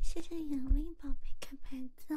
谢谢杨威宝贝看牌子。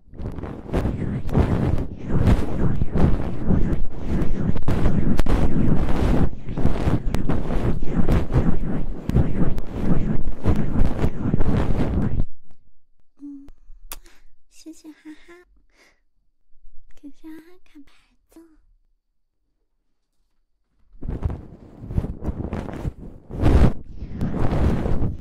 嗯，谢谢哈哈，给哈哈看牌子。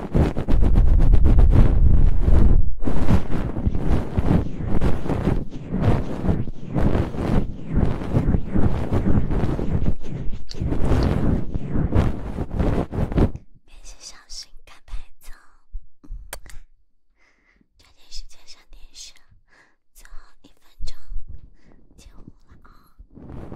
面试小心看牌子，抓紧时间上电视，最后一分钟，九五二。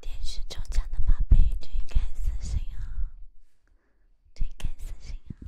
电视中奖的宝贝，推开私信啊！推开私信啊！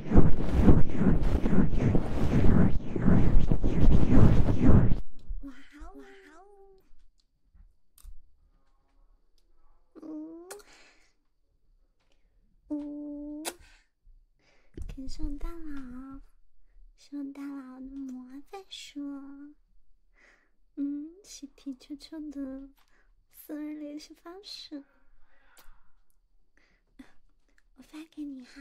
哇哦哇哦！嗯嗯，感大佬，谢谢大佬的魔法书。嗯，喜提悄悄的私人联系方式。我发给你哈。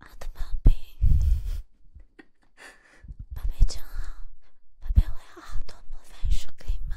我的宝贝，宝贝真好，宝贝我有好多魔法书，可以吗？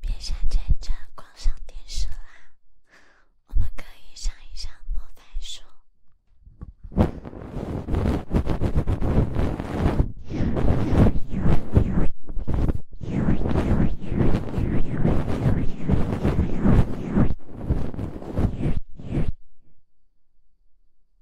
别想在这关上电视啦，我们可以上一上莫代数。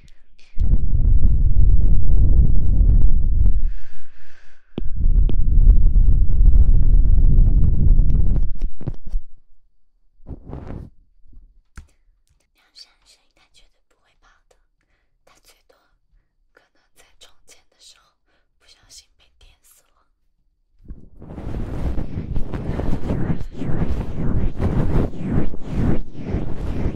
梁山神干绝对不会跑的，他最多可能在重建的时候不小心被点死了。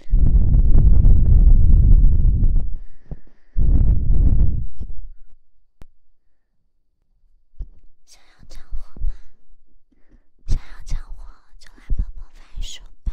想要掌握吗？想要掌握就来本魔法书吧。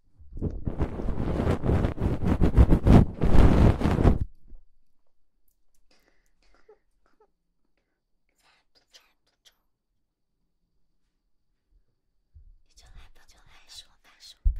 猜不猜？不中，你就来吧，就来说吧，说吧。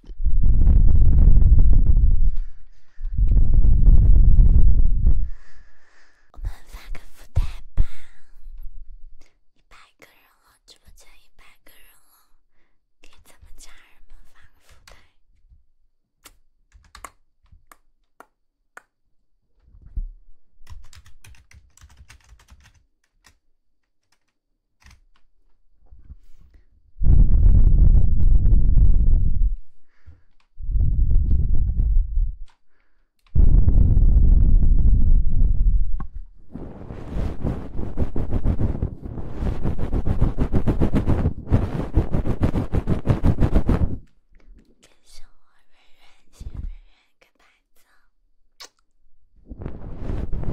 我们发个福袋吧，一百个人了，直播间一百个人了，给咱们家人们发个福袋。跟着我，越远，心越远，跟伴奏。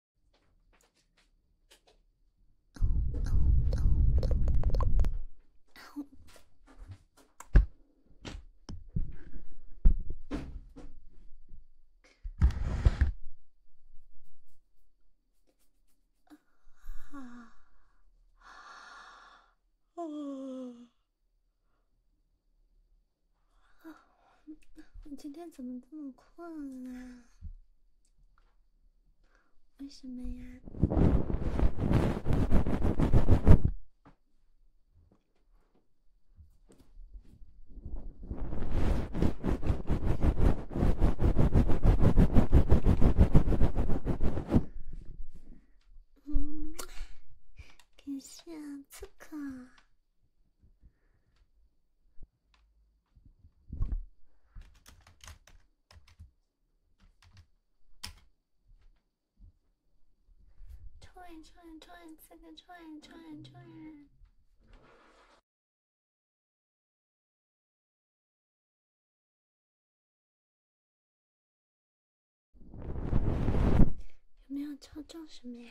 啊啊啊！我今天怎么这么困啊？为什么呀？嗯，感谢刺客。串串串，四个串串串。有没有抽中什么呀？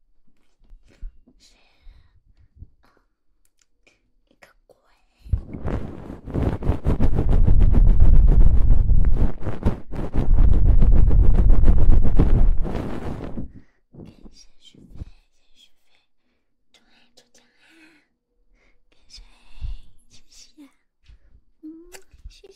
谁？啊！你个鬼！感谢树，感谢树，祝爱祝江汉，跟谁？谢谢，嗯，谢谢。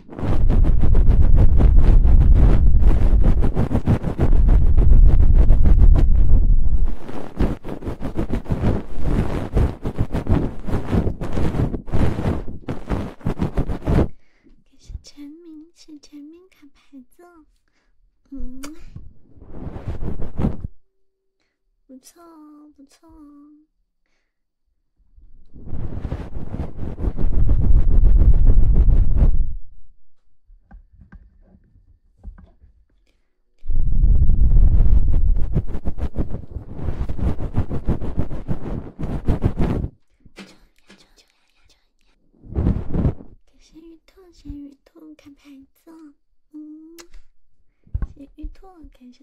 可是全民是全民卡牌子，嗯，不错哦，不错哦。谢鱼兔，看玉兔，看牌子。嗯，看鱼兔，感谢。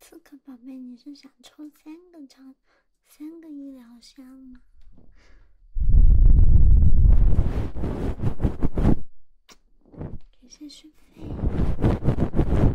刺客宝贝，你是想抽三个超，三个医疗箱吗？感谢顺风。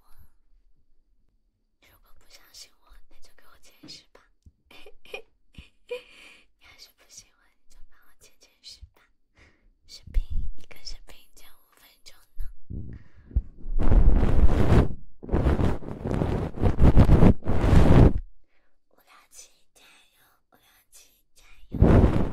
我，如果不相信我，那就给我解释吧。你还是不信我，就帮我解解释吧。视频，一个视频就五分钟呢。无聊，亲战友，无聊，亲战友。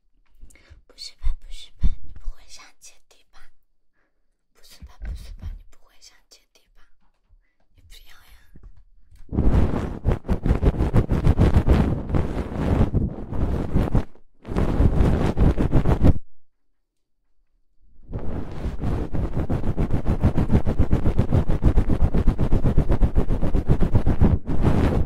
不是吧不是吧，你不会想姐弟吧？不是吧不是吧，你不会想姐弟吧？你不要呀。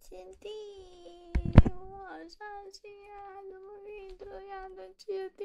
姐弟，我好伤心啊！怎么可以这样的姐弟？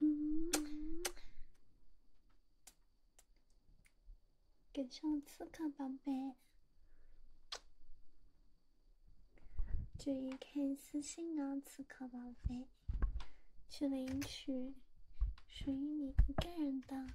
感给上次看宝贝，这意看私信哦，刺客宝贝，去领取属于你一个人的。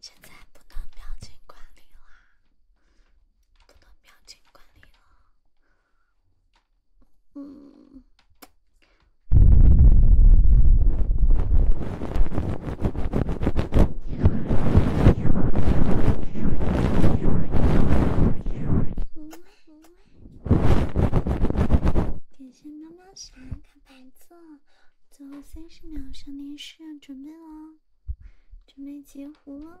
现在不能表情管理了，嗯。感谢妈妈喜欢看白最后三十秒上电视，准备了，准备截胡。了。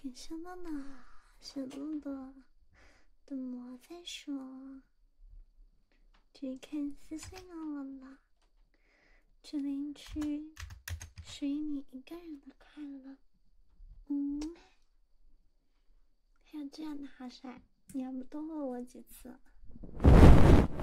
感谢妈妈，小豆豆，等我再说。只看私信的我了，这邻居属于你一个人的快乐。嗯，还有这样的好帅，你要不多问我几次？